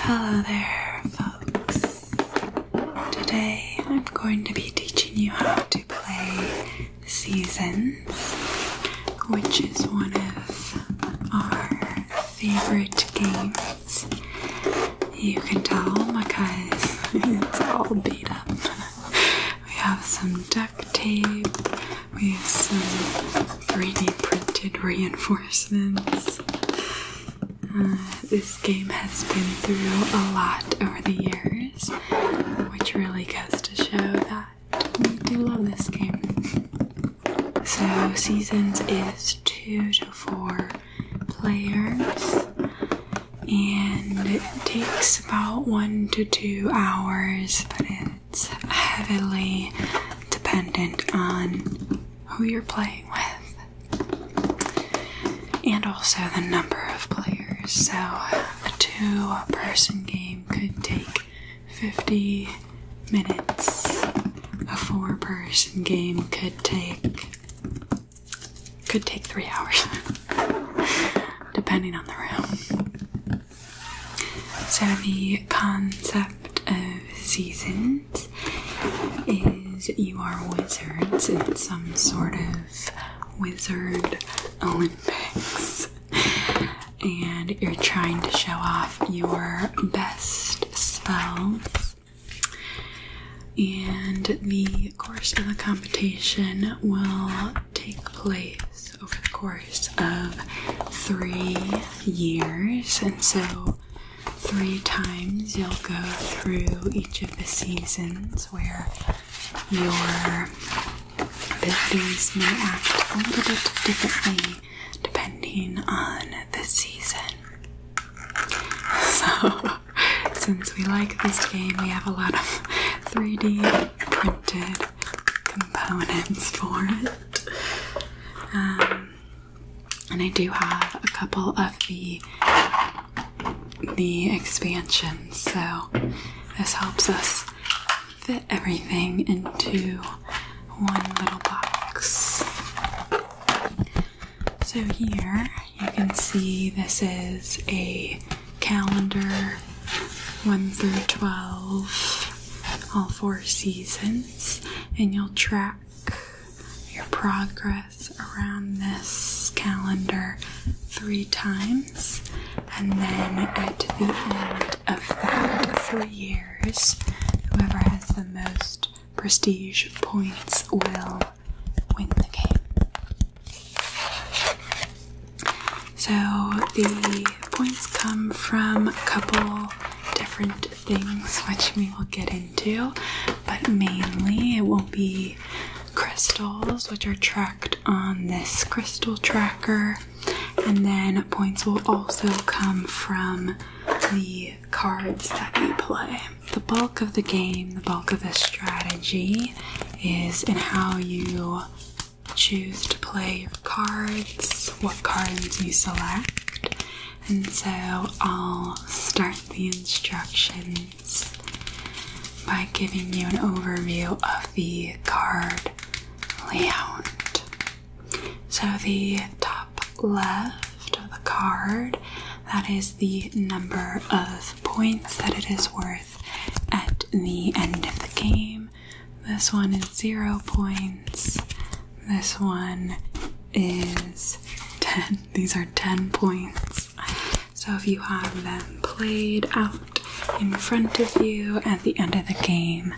Hello there, folks. Today I'm going to be teaching you how to play Seasons, which is one of our favorite games. You can tell because it's all beat up. We have some duct tape, we have some 3D printed reinforcements. Uh, this game has been through a lot over the years, which really goes to show that we do love this game. So, Seasons is two to four players, and it takes about one to two hours, but it's heavily dependent on who you're playing with, and also the number of players. So, a two person game could take 50 minutes, a four person game could take could take three hours depending on the room so the concept of seasons is you are wizards in some sort of wizard Olympics, and you're trying to show off your best spells. And the course of the competition will take place over the course of three years, and so three times you'll go through each of the seasons where your abilities may act a little bit differently depending on the season. So, since we like this game, we have a lot of 3D printed components for it. Um, and I do have a couple of the the expansions, so this helps us fit everything into one little box. So here you can see this is a calendar 1 through 12, all four seasons, and you'll track your progress around this calendar three times, and then at the end of that three years, whoever has the most prestige points will win the game. So the points come from a couple different things, which we will get into, but mainly it will be crystals, which are tracked on this crystal tracker, and then points will also come from the cards that you play. The bulk of the game, the bulk of the strategy, is in how you choose to play your cards, what cards you select, and so I'll start the instructions by giving you an overview of the card layout. So, the top left of the card that is the number of points that it is worth at the end of the game. This one is zero points. This one is 10. These are 10 points. So if you have them played out in front of you at the end of the game,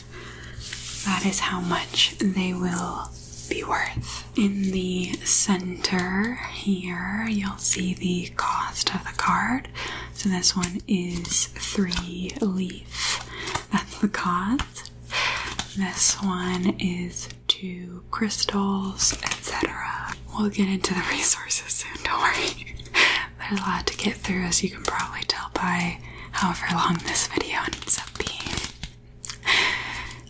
that is how much they will be worth. In the center here, you'll see the cost of the card. So this one is three leaf. That's the cost. This one is two crystals, etc. We'll get into the resources soon, don't worry. There's a lot to get through, as you can probably tell by however long this video ends up being.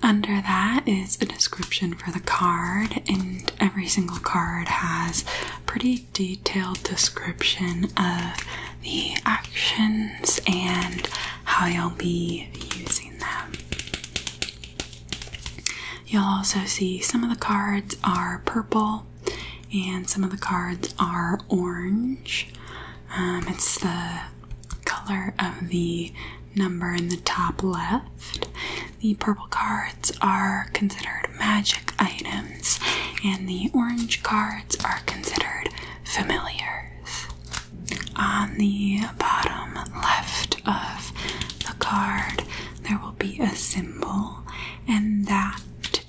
Under that is a description for the card, and every single card has a pretty detailed description of the actions and how you'll be using them. You'll also see some of the cards are purple and some of the cards are orange. Um, it's the color of the number in the top left. The purple cards are considered magic items, and the orange cards are considered familiars. On the bottom left of the card, there will be a symbol, and that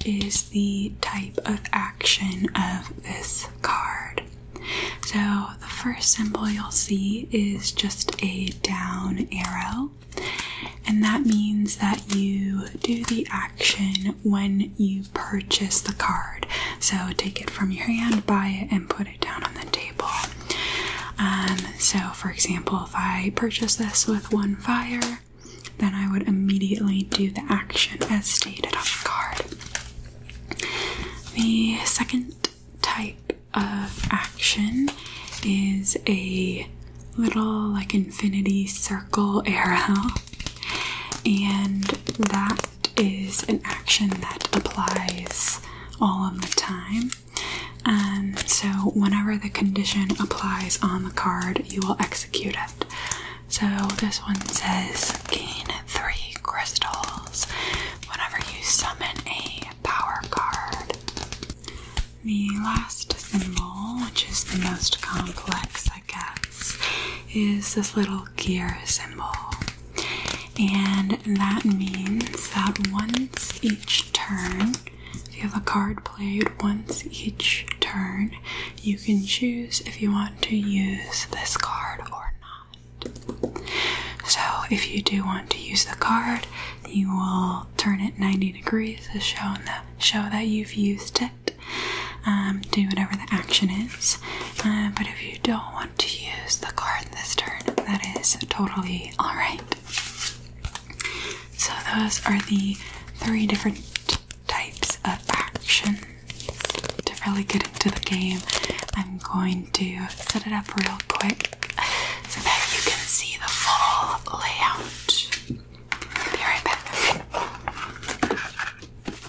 is the type of action of this card. So, the first symbol you'll see is just a down arrow, and that means that you do the action when you purchase the card. So take it from your hand, buy it, and put it down on the table. Um, so, for example, if I purchase this with one fire, then I would immediately do the action as stated on the card. The second type of action is a little like infinity circle arrow, and that that is an action that applies all of the time. And um, so, whenever the condition applies on the card, you will execute it. So, this one says gain three crystals whenever you summon a power card. The last symbol, which is the most complex I is this little gear symbol. And that means that once each turn, if you have a card played, once each turn, you can choose if you want to use this card or not. So, if you do want to use the card, you will turn it 90 degrees to show that, show that you've used it. Um, do whatever the action is. Uh, but if you don't want to use the card this turn, that is totally alright. So, those are the three different types of action To really get into the game, I'm going to set it up real quick so that you can see the full layout. be right back.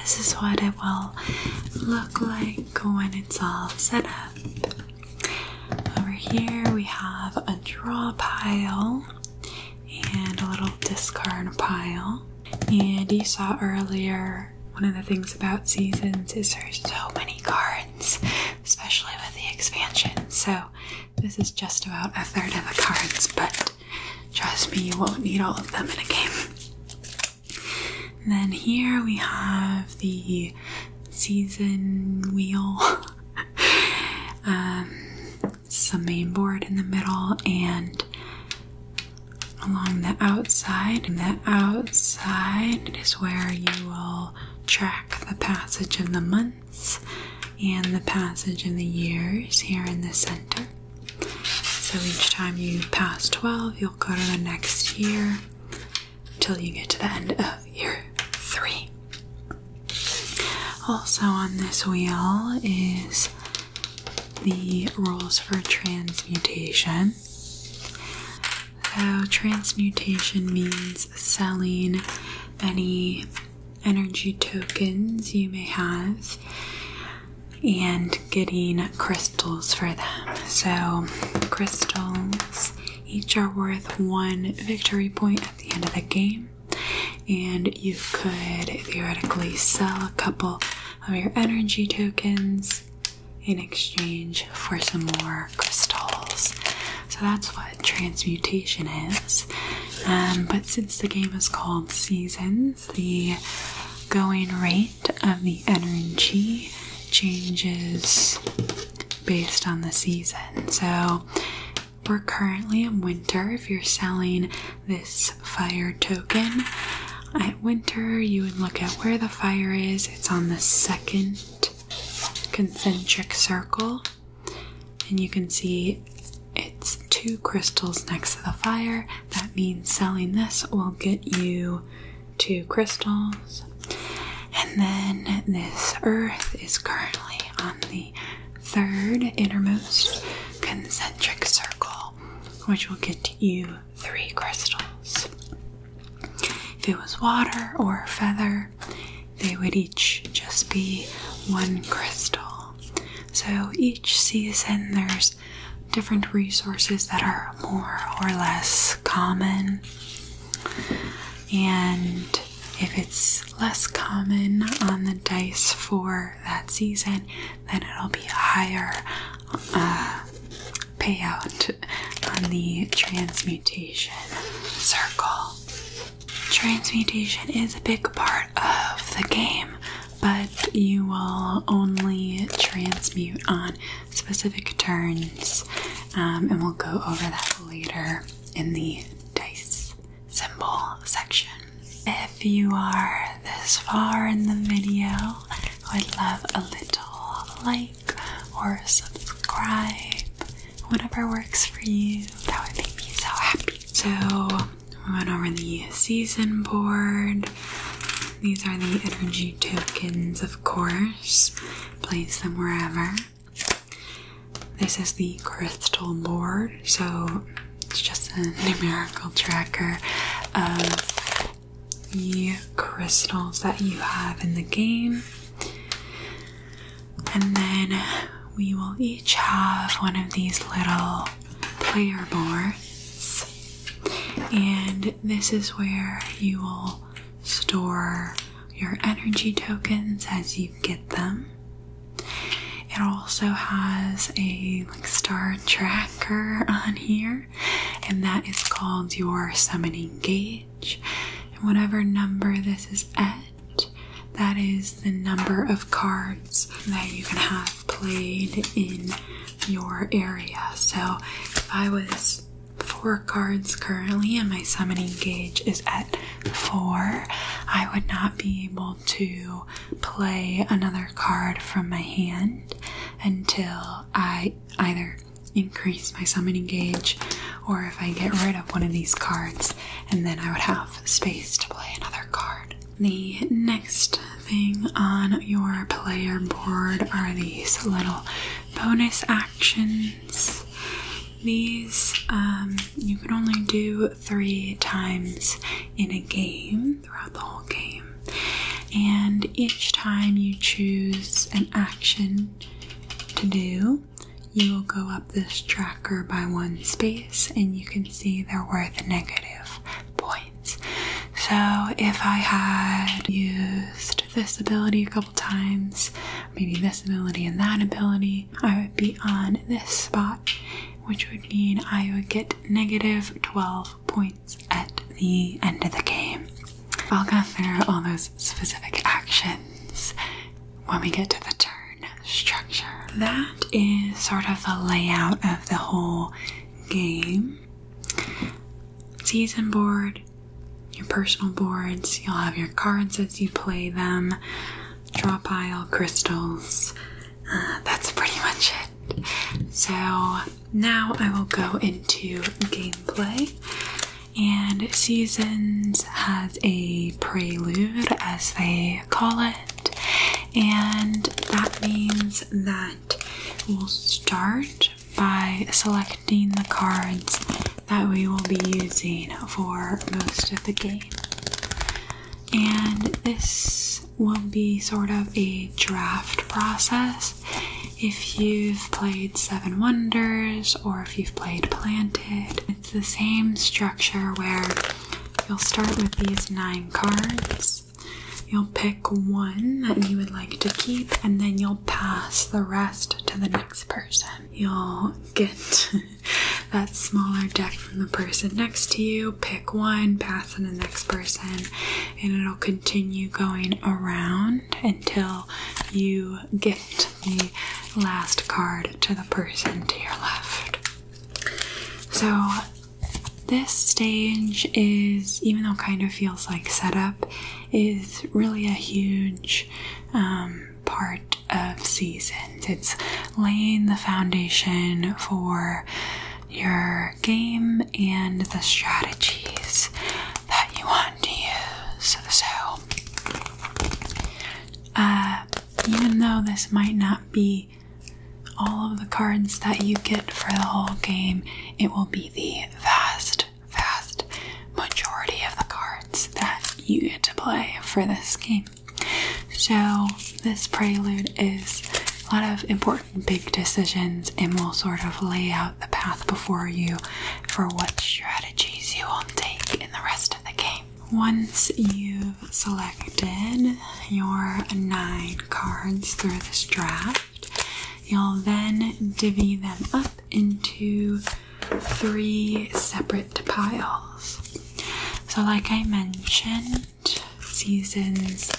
this is what it will look like when it's all set up. Over here we have a draw pile and a little discard pile. And you saw earlier one of the things about seasons is there's so many cards, especially with the expansion. So this is just about a third of the cards, but trust me, you won't need all of them in a game. And then here we have the season wheel, some um, main board in the middle, and along the outside. the outside is where you will track the passage of the months and the passage of the years here in the center. So each time you pass 12, you'll go to the next year until you get to the end of year 3. Also, on this wheel is the rules for transmutation. So, transmutation means selling any energy tokens you may have and getting crystals for them. So, crystals each are worth one victory point at the end of the game, and you could theoretically sell a couple of your energy tokens in exchange for some more crystals. So that's what transmutation is. Um, but since the game is called Seasons, the going rate of the energy changes based on the season. So we're currently in winter. If you're selling this fire token at winter, you would look at where the fire is. It's on the second concentric circle, and you can see it's two crystals next to the fire that means selling this will get you two crystals. And then this earth is currently on the third innermost concentric circle, which will get you three crystals. If it was water or feather, they would each just be one crystal. So each season there's different resources that are more or less common. And if it's less common on the dice for that season, then it'll be a higher uh, payout on the transmutation circle. Transmutation is a big part of the game but you will only transmute on specific turns, um, and we'll go over that later in the dice symbol section. If you are this far in the video, I would love a little like or subscribe, whatever works for you. That would make me so happy. So, we went over the season board. These are the energy tokens, of course. Place them wherever. This is the crystal board, so it's just a numerical tracker of the crystals that you have in the game. And then we will each have one of these little player boards. And this is where you will store your energy tokens as you get them. It also has a like star tracker on here, and that is called your summoning gauge. And whatever number this is at, that is the number of cards that you can have played in your area. So if I was four cards currently and my summoning gauge is at four, I would not be able to play another card from my hand until I either increase my summoning gauge or if I get rid of one of these cards and then I would have space to play another card. The next thing on your player board are these little bonus actions. These um, you can only do three times in a game throughout the whole game, and each time you choose an action to do, you will go up this tracker by one space, and you can see they're worth a negative point. So if I had used this ability a couple times, maybe this ability and that ability, I would be on this spot, which would mean I would get negative 12 points at the end of the game. I'll go through all those specific actions when we get to the turn structure. That is sort of the layout of the whole game season board, your personal boards, you'll have your cards as you play them, draw pile, crystals. Uh, that's pretty much it. So now I will go into gameplay. And Seasons has a prelude, as they call it, and that means that We'll start by selecting the cards that we will be using for most of the game. And this will be sort of a draft process. If you've played Seven Wonders or if you've played Planted, it's the same structure where you'll start with these nine cards You'll pick one that you would like to keep, and then you'll pass the rest to the next person. You'll get that smaller deck from the person next to you, pick one, pass to the next person, and it'll continue going around until you gift the last card to the person to your left. So, this stage is, even though it kind of feels like setup, is really a huge um, part of seasons. It's laying the foundation for your game and the strategies that you want to use. So, uh, even though this might not be all of the cards that you get for the whole game, it will be the vast, vast majority of the cards that you get to play for this game. So, this prelude is a lot of important big decisions and will sort of lay out the path before you for what strategies you will take in the rest of the game. Once you've selected your nine cards through this draft, You'll then divvy them up into three separate piles. So, like I mentioned, seasons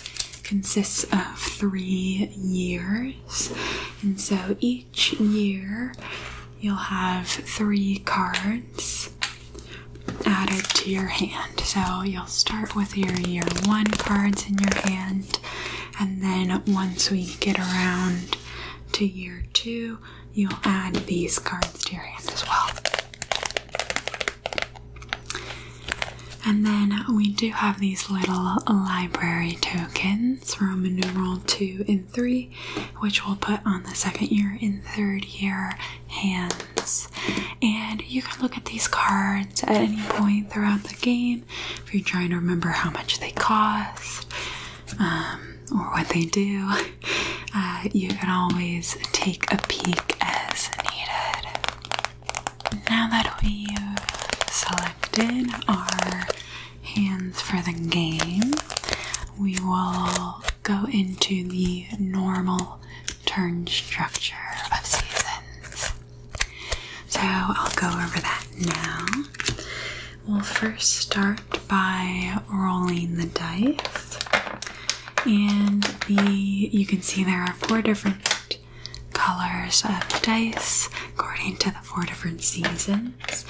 consists of three years, and so each year you'll have three cards added to your hand. So you'll start with your year one cards in your hand, and then once we get around to year two, you'll add these cards to your hand as well. And then we do have these little library tokens, Roman numeral 2 and 3, which we'll put on the second year and third year hands and you can look at these cards at any point throughout the game if you're trying to remember how much they cost um, or what they do. Uh, you can always take a peek as needed. Now that we've selected our hands for the game, we will go into the normal turn structure of seasons. So I'll go over that now. We'll first start by rolling the dice. And the you can see there are four different colors of dice according to the four different seasons.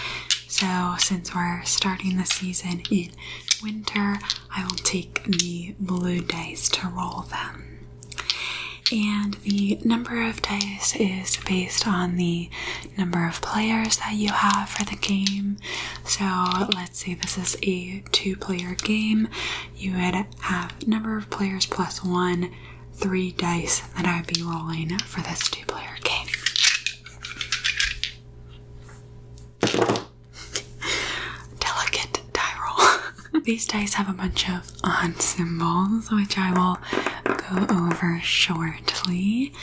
So since we're starting the season in winter, I will take the blue dice to roll them. And the number of dice is based on the number of players that you have for the game. So let's say this is a two player game, you would have number of players plus one, three dice that I would be rolling for this two player game. Delicate die roll. These dice have a bunch of odd symbols, which I will go over shortly.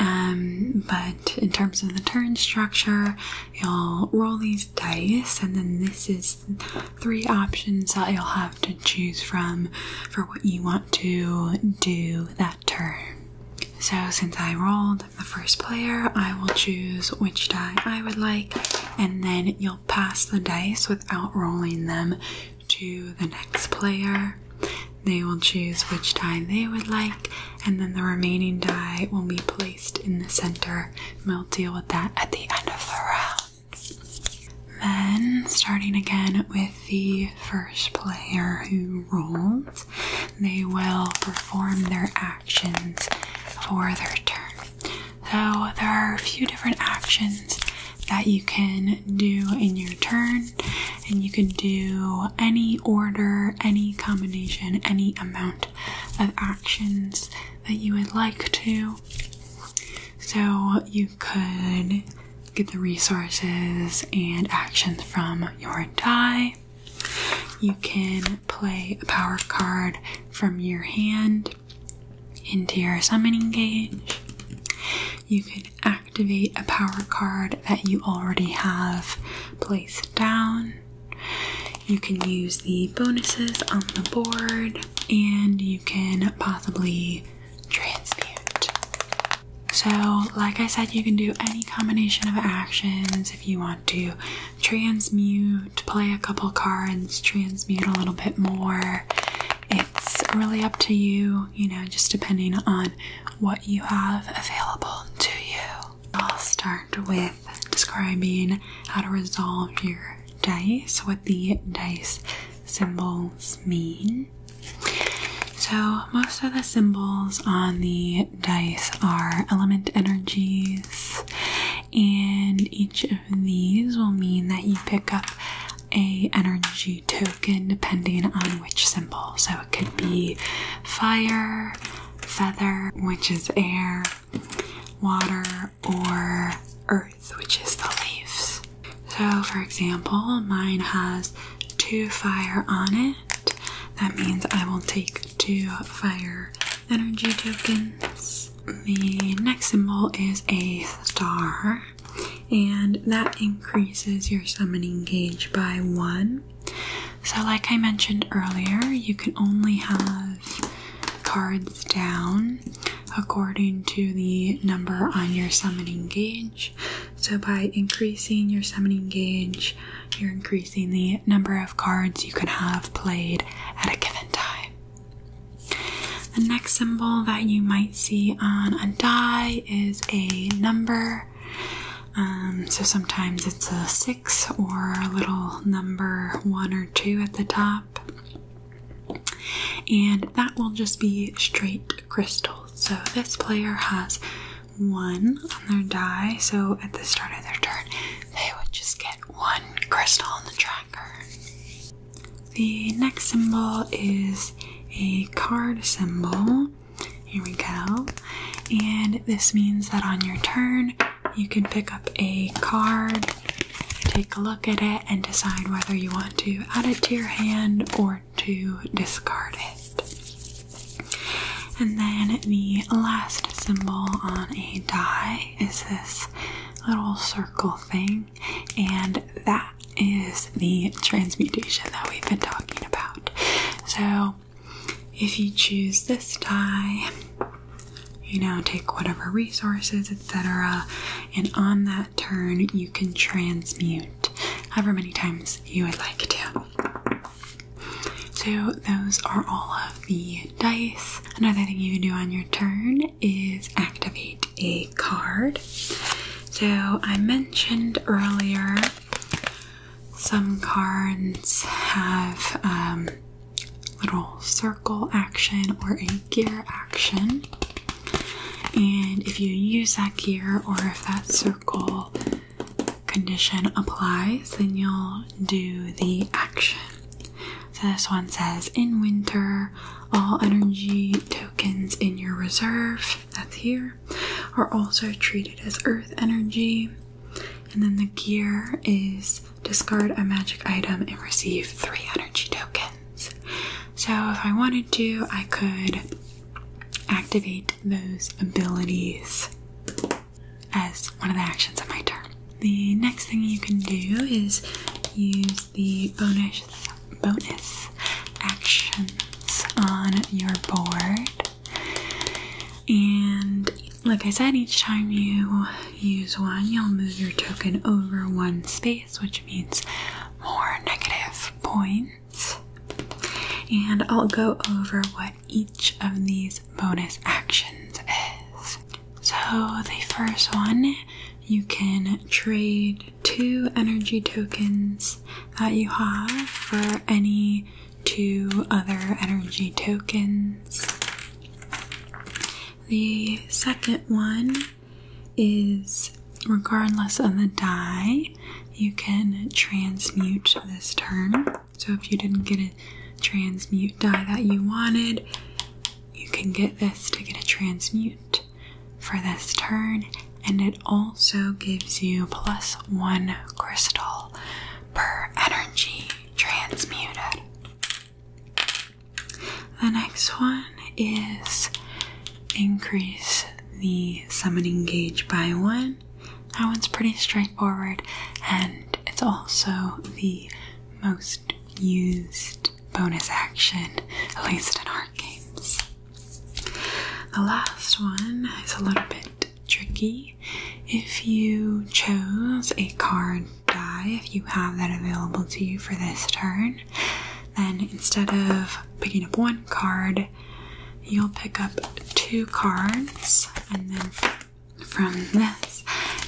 Um, but in terms of the turn structure, you'll roll these dice, and then this is three options that you'll have to choose from for what you want to do that turn. So, since I rolled the first player, I will choose which die I would like, and then you'll pass the dice without rolling them to the next player. They will choose which die they would like, and then the remaining die will be placed in the center. And we'll deal with that at the end of the round. Then, starting again with the first player who rolled, they will perform their act actions for their turn. So, there are a few different actions that you can do in your turn, and you can do any order, any combination, any amount of actions that you would like to. So, you could get the resources and actions from your die. You can play a power card from your hand into your summoning gauge. You can activate a power card that you already have placed down. You can use the bonuses on the board, and you can possibly transmute. So, like I said, you can do any combination of actions if you want to transmute, play a couple cards, transmute a little bit more. It's really up to you, you know, just depending on what you have available to you. I'll start with describing how to resolve your dice, what the dice symbols mean. So, most of the symbols on the dice are element energies, and each of these will mean that you pick up a energy token depending on which symbol. So it could be fire, feather, which is air, water, or earth, which is the leaves. So for example, mine has two fire on it. That means I will take two fire energy tokens. The next symbol is a star, and that increases your summoning gauge by one. So, like I mentioned earlier, you can only have cards down according to the number on your summoning gauge. So, by increasing your summoning gauge, you're increasing the number of cards you can have played at a given time. The next symbol that you might see on a die is a number. Um, so sometimes it's a six or a little number one or two at the top. And that will just be straight crystals. So this player has one on their die. So at the start of their turn, they would just get one crystal on the track. The next symbol is a card symbol. Here we go. And this means that on your turn, you can pick up a card, take a look at it, and decide whether you want to add it to your hand or to discard it. And then the last symbol on a die is this little circle thing, and that is the transmutation that we've been talking about. So, if you choose this die, you know, take whatever resources, etc., and on that turn, you can transmute however many times you would like to. So, those are all of the dice. Another thing you can do on your turn is activate a card. So, I mentioned earlier some cards have um, little circle action or a gear action. And if you use that gear or if that circle condition applies, then you'll do the action. So this one says, in winter, all energy tokens in your reserve, that's here, are also treated as earth energy. And then the gear is discard a magic item and receive three energy tokens. So if I wanted to, I could activate those abilities as one of the actions of my turn. The next thing you can do is use the bonus bonus actions on your board. And like I said, each time you use one, you'll move your token over one space, which means more negative points. And I'll go over what each of these bonus actions is. So, the first one, you can trade two energy tokens that you have for any two other energy tokens. The second one is regardless of the die, you can transmute this turn. So if you didn't get it transmute dye that you wanted, you can get this to get a transmute for this turn, and it also gives you plus one crystal per energy transmuted. The next one is increase the summoning gauge by one. That one's pretty straightforward, and it's also the most used bonus action, at least in our games. The last one is a little bit tricky. If you chose a card die, if you have that available to you for this turn, then instead of picking up one card, you'll pick up two cards, and then from this,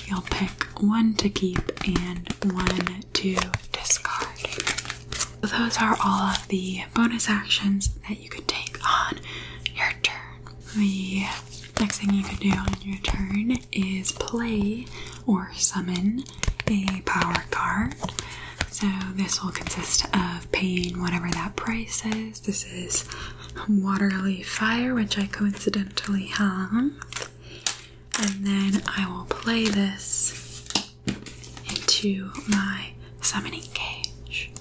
you'll pick one to keep and one to discard. Those are all of the bonus actions that you could take on your turn. The next thing you could do on your turn is play or summon a power card. So, this will consist of paying whatever that price is. This is Waterly fire, which I coincidentally have. And then I will play this into my summoning cage.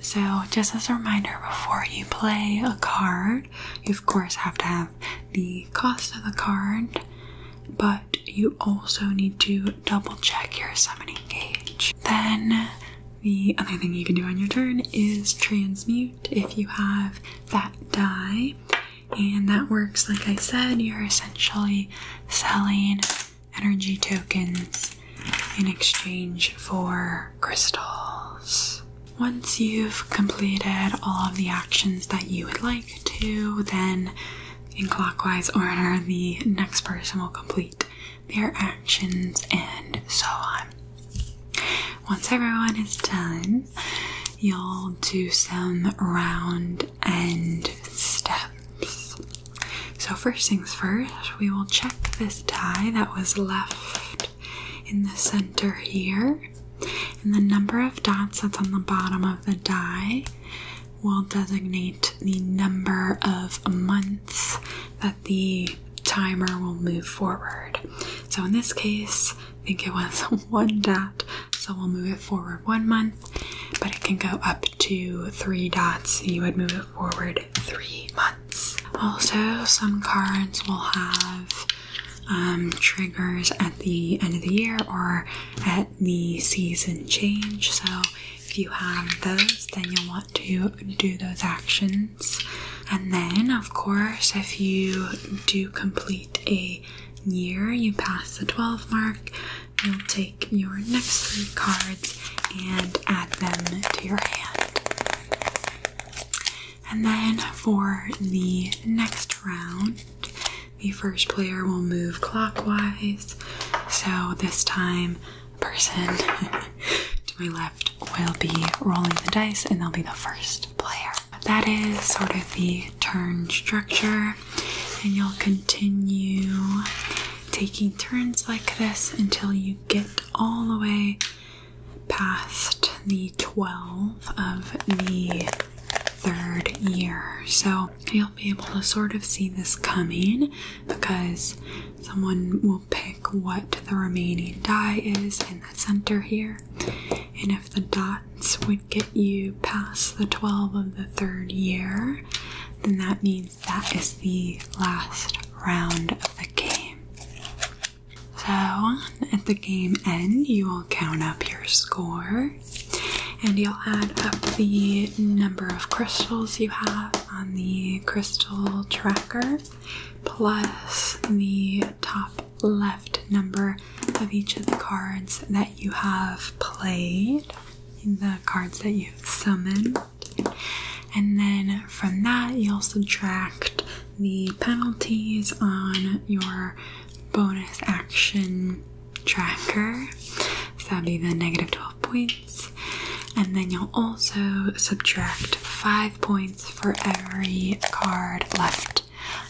So, just as a reminder, before you play a card, you of course have to have the cost of the card, but you also need to double check your summoning cage. Then, the other thing you can do on your turn is transmute if you have that die, And that works, like I said, you're essentially selling energy tokens in exchange for crystals. Once you've completed all of the actions that you would like to, then in clockwise order, the next person will complete their actions and so on. Once everyone is done, you'll do some round end steps. So, first things first, we will check this die that was left in the center here, and the number of dots that's on the bottom of the die will designate the number of months the timer will move forward. So in this case, I think it was one dot, so we'll move it forward one month, but it can go up to three dots, and you would move it forward three months. Also, some cards will have um, triggers at the end of the year or at the season change, so if you have those, then you'll want to do those actions and then, of course, if you do complete a year, you pass the 12 mark, you'll take your next three cards and add them to your hand. And then for the next round, the first player will move clockwise. So this time, person to my left will be rolling the dice, and they'll be the first player. That is sort of the turn structure, and you'll continue taking turns like this until you get all the way past the 12 of the third year. So you'll be able to sort of see this coming because someone will pick what the remaining die is, and center here. And if the dots would get you past the 12 of the third year, then that means that is the last round of the game. So at the game end, you will count up your score and you'll add up the number of crystals you have on the crystal tracker plus the top left number of each of the cards that you have played, the cards that you summoned. And then from that, you'll subtract the penalties on your bonus action tracker. So that'd be the negative 12 points. And then you'll also subtract 5 points for every card left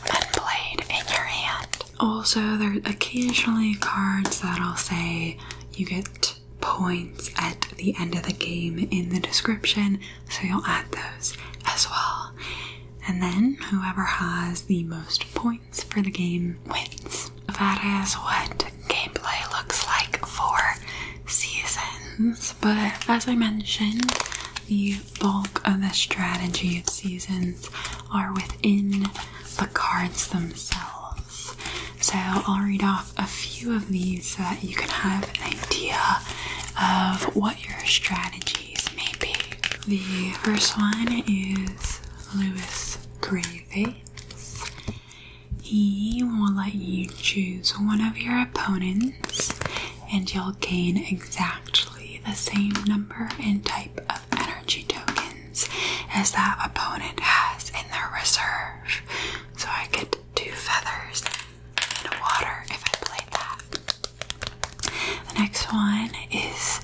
unplayed in your hand. Also, there's occasionally cards that'll i say you get points at the end of the game in the description, so you'll add those as well. And then whoever has the most points for the game wins. That is what gameplay looks like for seasons, but as I mentioned, the bulk of the strategy of seasons are within the cards themselves. So I'll read off a few of these so that you can have an idea of what your strategies may be. The first one is Lewis Graves. He will let you choose one of your opponents and you'll gain exactly the same number and type of energy tokens as that opponent has in their reserve. So I get two feathers and water if I play that. The next one is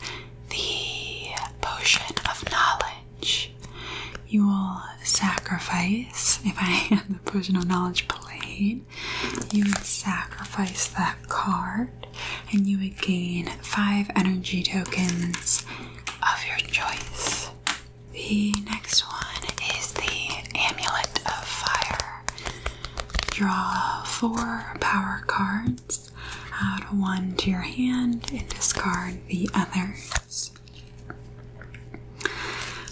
the potion of knowledge. You will sacrifice, if I have the potion of knowledge played, you would sacrifice that card and you would gain five energy tokens of your choice. The next one is the Amulet of Fire. Draw four power cards, add one to your hand, and discard the others.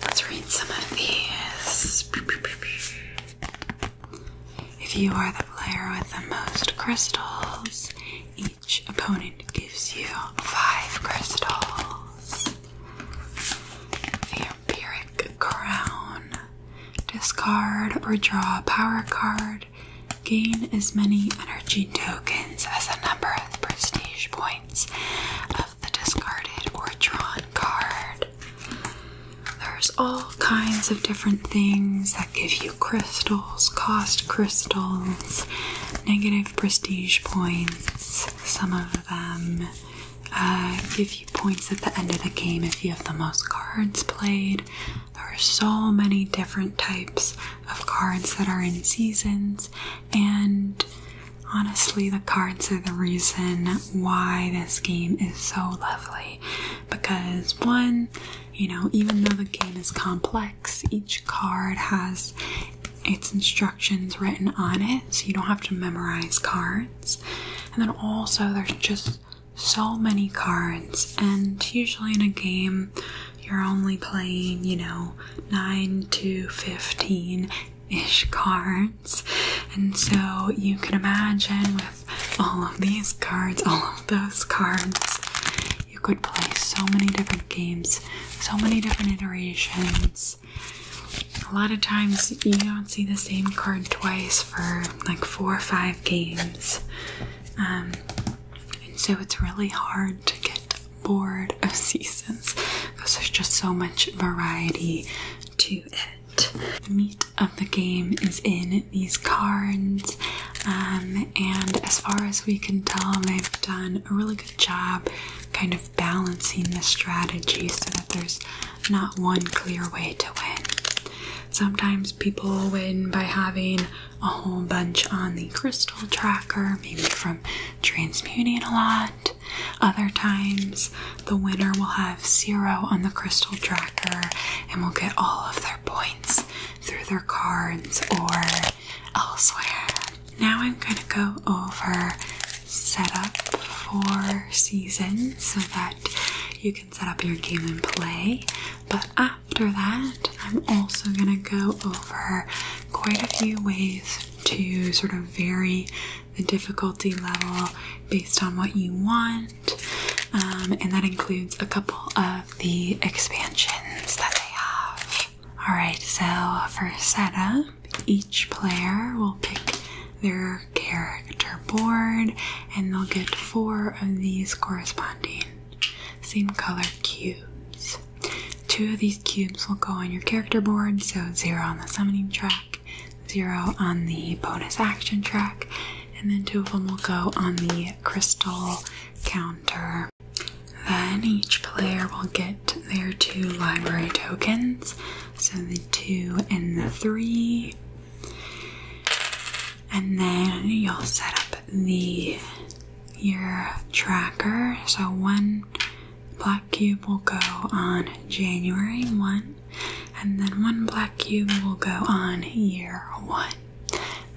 Let's read some of these. If you are the player with the most crystals, each opponent gives you five crystals. The Empiric Crown. Discard or draw a power card. Gain as many energy tokens as the number of prestige points of the discarded or drawn card There's all kinds of different things that give you crystals, cost crystals, negative prestige points. Some of them uh, give you points at the end of the game if you have the most cards played. There are so many different types of cards that are in seasons, and Honestly, the cards are the reason why this game is so lovely because, one, you know, even though the game is complex, each card has its instructions written on it, so you don't have to memorize cards. And then also, there's just so many cards, and usually in a game, you're only playing, you know, 9 to 15 ish cards. And so you can imagine with all of these cards, all of those cards, you could play so many different games, so many different iterations. A lot of times you don't see the same card twice for like four or five games. Um, and so it's really hard to get bored of seasons because there's just so much variety to it. The meat of the game is in these cards, um, and as far as we can tell, they've done a really good job kind of balancing the strategy so that there's not one clear way to win. Sometimes people win by having a whole bunch on the crystal tracker, maybe from transmuting a lot. Other times, the winner will have zero on the crystal tracker and will get all of their points through their cards or elsewhere. Now, I'm going to go over setup for season so that you can set up your game and play. But after that, I'm also going to go over quite a few ways to sort of vary the difficulty level based on what you want, um, and that includes a couple of the expansions that they have. Alright, so for setup, each player will pick their character board and they'll get four of these corresponding same color cubes. Two of these cubes will go on your character board, so zero on the summoning track, zero on the bonus action track, and then two of them will go on the crystal counter. Then each player will get their two library tokens, so the two and the three. And then you'll set up the your tracker. So one black cube will go on January 1, and then one black cube will go on year 1.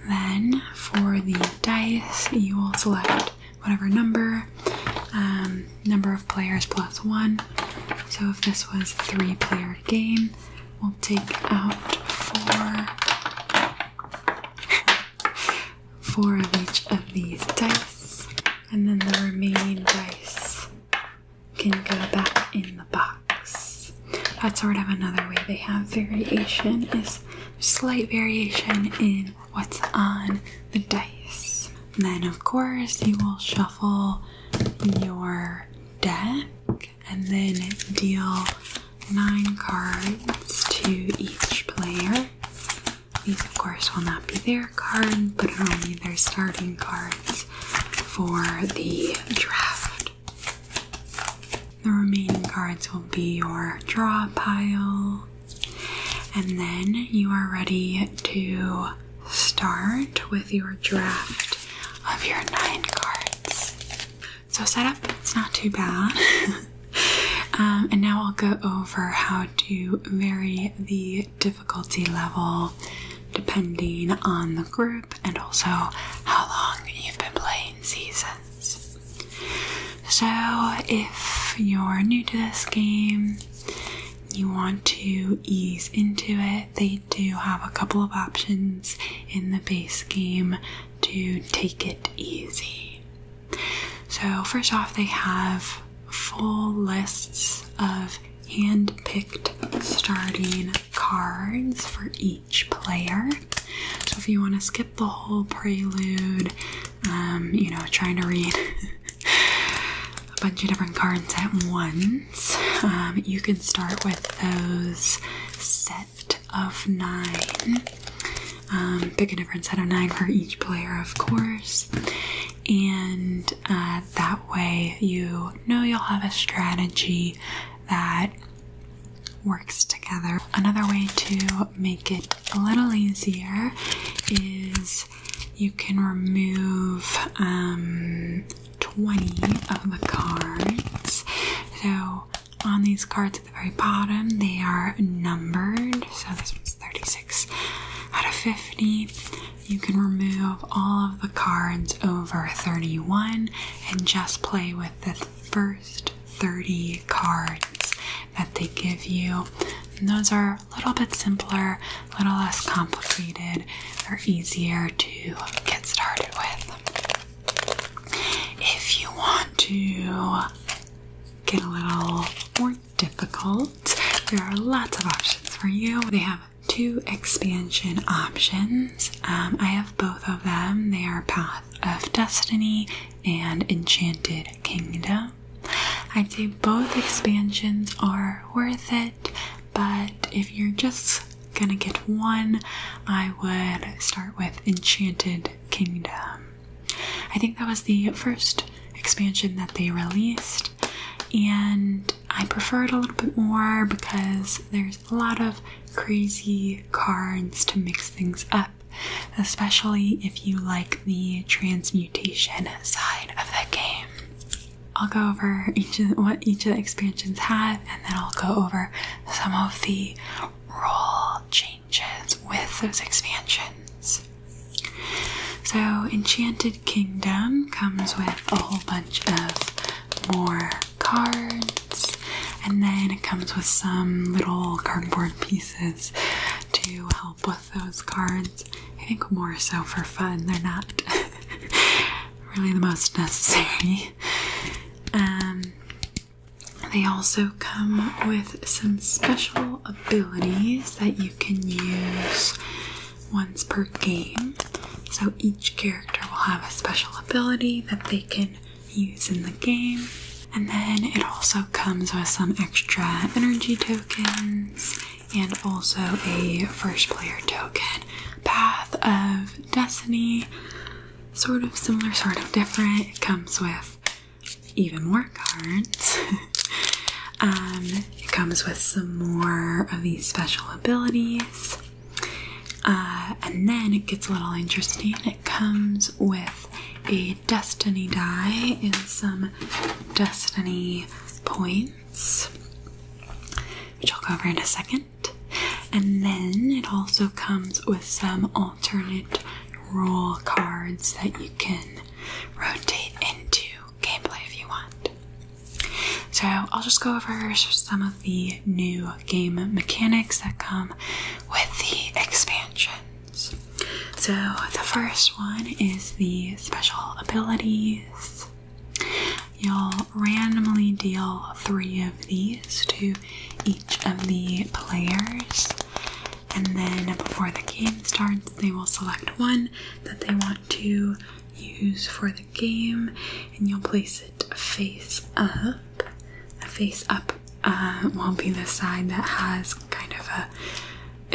Then for the dice, you will select whatever number, um, number of players plus 1. So if this was a three player game, we'll take out four. four of each of these dice, and then the remaining dice can go back in the box. That's sort of another way they have variation is slight variation in what's on the dice. then of course you will shuffle your deck and then deal nine cards to each player. These, of course, will not be their cards, but only their starting cards for the draft. The remaining cards will be your draw pile, and then you are ready to start with your draft of your nine cards. So, setup, it's not too bad. Um, and now I'll go over how to vary the difficulty level depending on the group and also how long you've been playing seasons. So, if you're new to this game, you want to ease into it, they do have a couple of options in the base game to take it easy. So, first off, they have full lists of hand picked starting cards for each player. So, if you want to skip the whole prelude, um, you know, trying to read a bunch of different cards at once, um, you can start with those set of nine. Um, pick a different set of nine for each player, of course, and uh, that way you know you'll have a strategy that works together. Another way to make it a little easier is you can remove um, 20 of the cards. So on these cards at the very bottom, they are numbered. So this 36 out of 50. You can remove all of the cards over 31 and just play with the first 30 cards that they give you. those are a little bit simpler, a little less complicated, they're easier to get started with. If you want to get a little more difficult. There are lots of options for you. They have two expansion options. Um, I have both of them. They are Path of Destiny and Enchanted Kingdom. I'd say both expansions are worth it, but if you're just gonna get one, I would start with Enchanted Kingdom. I think that was the first expansion that they released, and I prefer it a little bit more because there's a lot of crazy cards to mix things up, especially if you like the transmutation side of the game. I'll go over each of the, what each of the expansions have, and then I'll go over some of the role changes with those expansions. So, Enchanted Kingdom comes with a whole bunch of more cards, and then it comes with some little cardboard pieces to help with those cards. I think more so for fun, they're not really the most necessary. Um, they also come with some special abilities that you you can use once per game. So each character will have a special ability that they can use in the game. And then it also comes with some extra energy tokens and also a first player token. Path of Destiny, sort of similar, sort of different. It comes with even more cards. Um, it comes with some more of these special abilities. Uh, and then it gets a little interesting. It comes with a destiny die and some destiny points, which I'll cover in a second. And then it also comes with some alternate rule cards that you can rotate into gameplay if you want. So, I'll just go over some of the new game mechanics that come with the expansions. So, the first one is the special abilities. You'll randomly deal three of these to each of the players, and then before the game starts, they will select one that they want to use for the game, and you'll place it face up. The face up uh, will be the side that has kind of a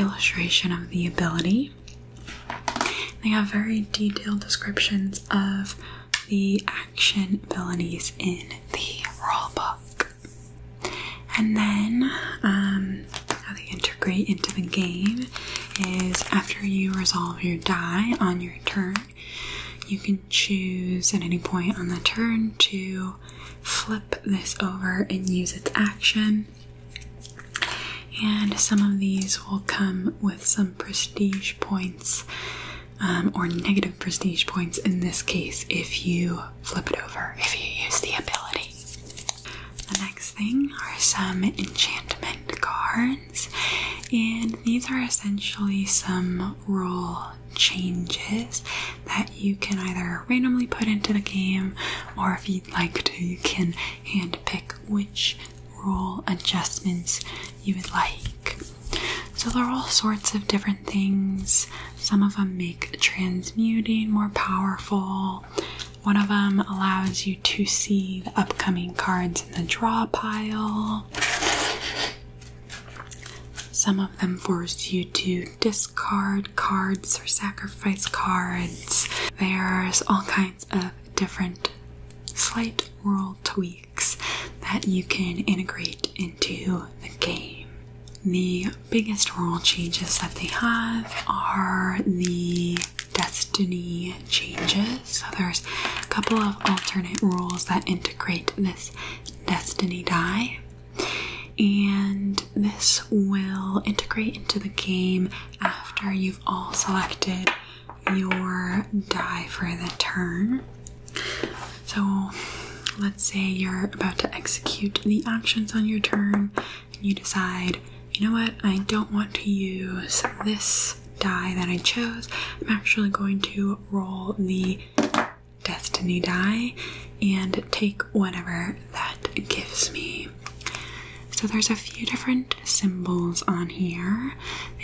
illustration of the ability. They have very detailed descriptions of the action abilities in the rule book. And then um, how they integrate into the game is after you resolve your die on your turn, you can choose at any point on the turn to flip this over and use its action. And some of these will come with some prestige points um, or negative prestige points in this case if you flip it over, if you use the ability. The next thing are some enchantment cards, and these are essentially some rule changes that you can either randomly put into the game, or if you'd like to, you can handpick which rule adjustments you would like. So, there are all sorts of different things some of them make transmuting more powerful. One of them allows you to see the upcoming cards in the draw pile. Some of them force you to discard cards or sacrifice cards. There's all kinds of different slight rule tweaks that you can integrate into the game. The biggest rule changes that they have are the destiny changes. So there's a couple of alternate rules that integrate this destiny die. And this will integrate into the game after you've all selected your die for the turn. So let's say you're about to execute the actions on your turn and you decide, you know what, I don't want to use this die that I chose. I'm actually going to roll the destiny die and take whatever that gives me. So there's a few different symbols on here.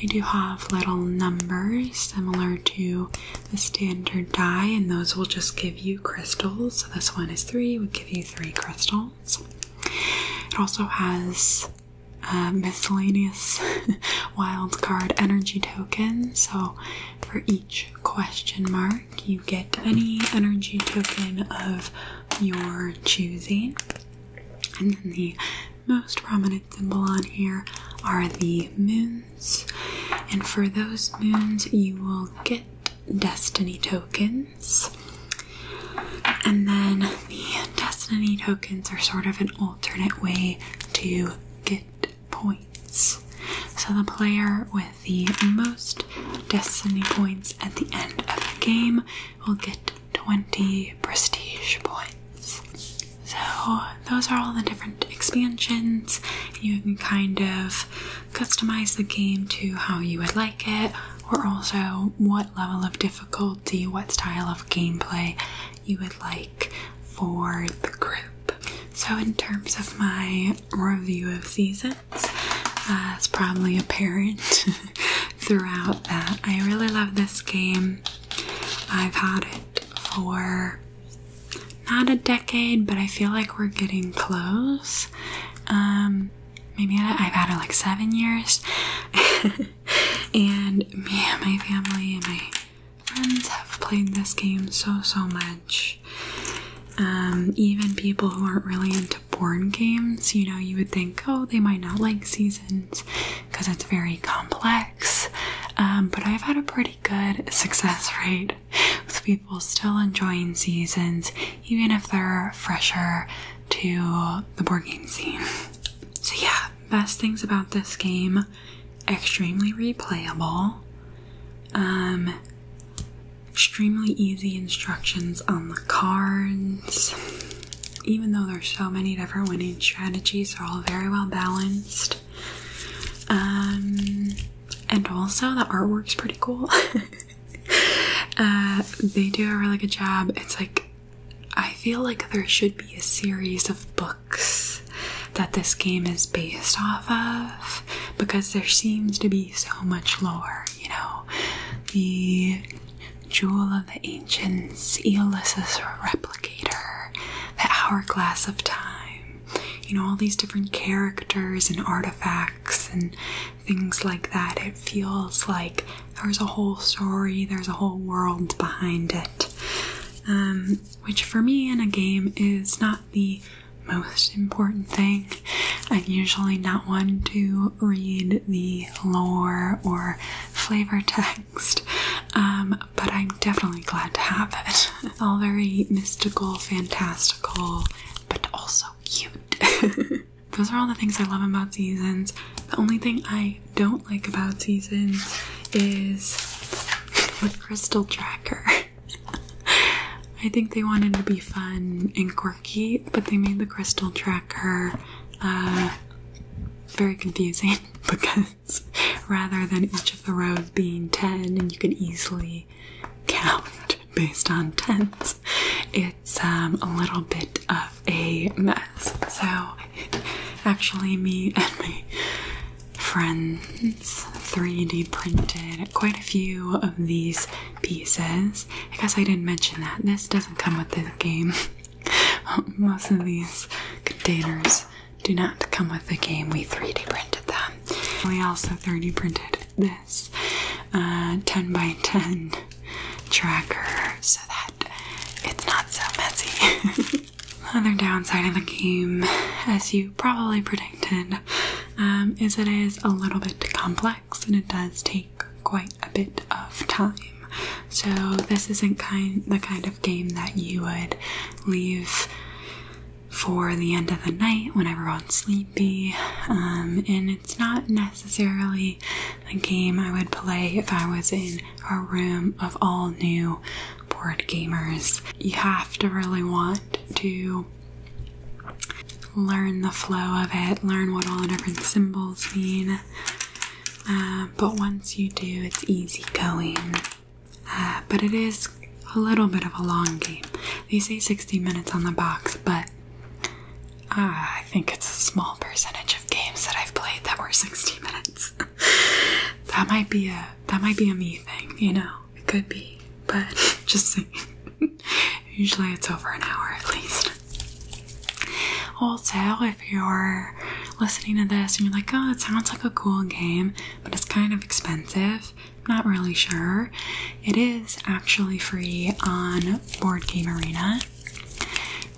They do have little numbers similar to the standard die and those will just give you crystals. So this one is three, would give you three crystals. It also has a uh, miscellaneous wild card energy token. So for each question mark, you get any energy token of your choosing. And then the most prominent symbol on here are the moons. And for those moons, you will get Destiny tokens. And then the Destiny tokens are sort of an alternate way to get points. So the player with the most Destiny points at the end of the game will get 20 prestige points. So those are all the different expansions. You can kind of customize the game to how you would like it, or also what level of difficulty, what style of gameplay you would like for the group. So, in terms of my review of seasons, uh, it's probably apparent throughout that I really love this game. I've had it for not a decade, but I feel like we're getting close. Um, maybe I've had it like seven years. and me and my family and my friends have played this game so, so much. Um, even people who aren't really into board games, you know, you would think, oh, they might not like seasons because it's very complex. Um, but I've had a pretty good success rate with people still enjoying seasons, even if they're fresher to the board game scene. So, yeah, best things about this game extremely replayable, um, extremely easy instructions on the cards. Even though there's so many different winning strategies, they're all very well balanced. Um, and also the artwork's pretty cool. Uh, they do a really good job. It's like I feel like there should be a series of books that this game is based off of because there seems to be so much lore, you know. The Jewel of the Ancients, Aeolus' Replicator, The Hourglass of Time, you know all these different characters and artifacts and things like that it feels like there's a whole story there's a whole world behind it um, which for me in a game is not the most important thing i'm usually not one to read the lore or flavor text um, but i'm definitely glad to have it it's all very mystical fantastical but also cute. Those are all the things I love about seasons. The only thing I don't like about seasons is the crystal tracker. I think they wanted to be fun and quirky, but they made the crystal tracker uh, very confusing because rather than each of the rows being 10 and you could easily count based on tense, it's um, a little bit of a mess. So, actually, me and my friends 3D printed quite a few of these pieces. I guess I didn't mention that. This doesn't come with the game. Most of these containers do not come with the game. We 3D printed them. We also 3D printed this. Uh, 10 by 10 tracker so that it's not so messy. Another downside of the game, as you probably predicted, um, is it is a little bit complex and it does take quite a bit of time. So this isn't kind the kind of game that you would leave for the end of the night when everyone's sleepy. Um, and it's not necessarily a game I would play if I was in a room of all new board gamers. You have to really want to learn the flow of it, learn what all the different symbols mean. Uh, but once you do, it's easy going. Uh, but it is a little bit of a long game. They say 60 minutes on the box, but ah, I think it's a small percentage of games that I've played that were 60 minutes. that might be a that might be a me thing, you know. It could be, but just saying. Usually it's over an hour at least. Also, if you're listening to this and you're like, oh, it sounds like a cool game, but it's kind of expensive, not really sure. It is actually free on Board Game Arena.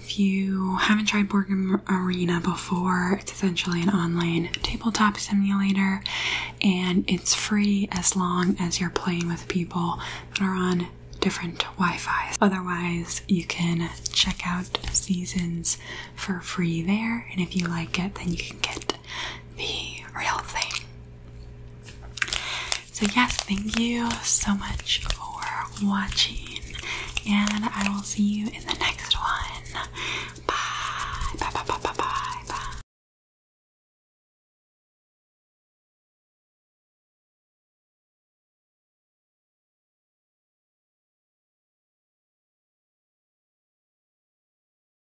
If you haven't tried Board Game Arena before, it's essentially an online tabletop simulator and it's free as long as you're playing with people that are on different Wi-Fi's. Otherwise, you can check out seasons for free there, and if you like it, then you can get the real thing so, yes, thank you so much for watching, and I will see you in the next one. Bye, bye, bye, bye, bye, bye. bye.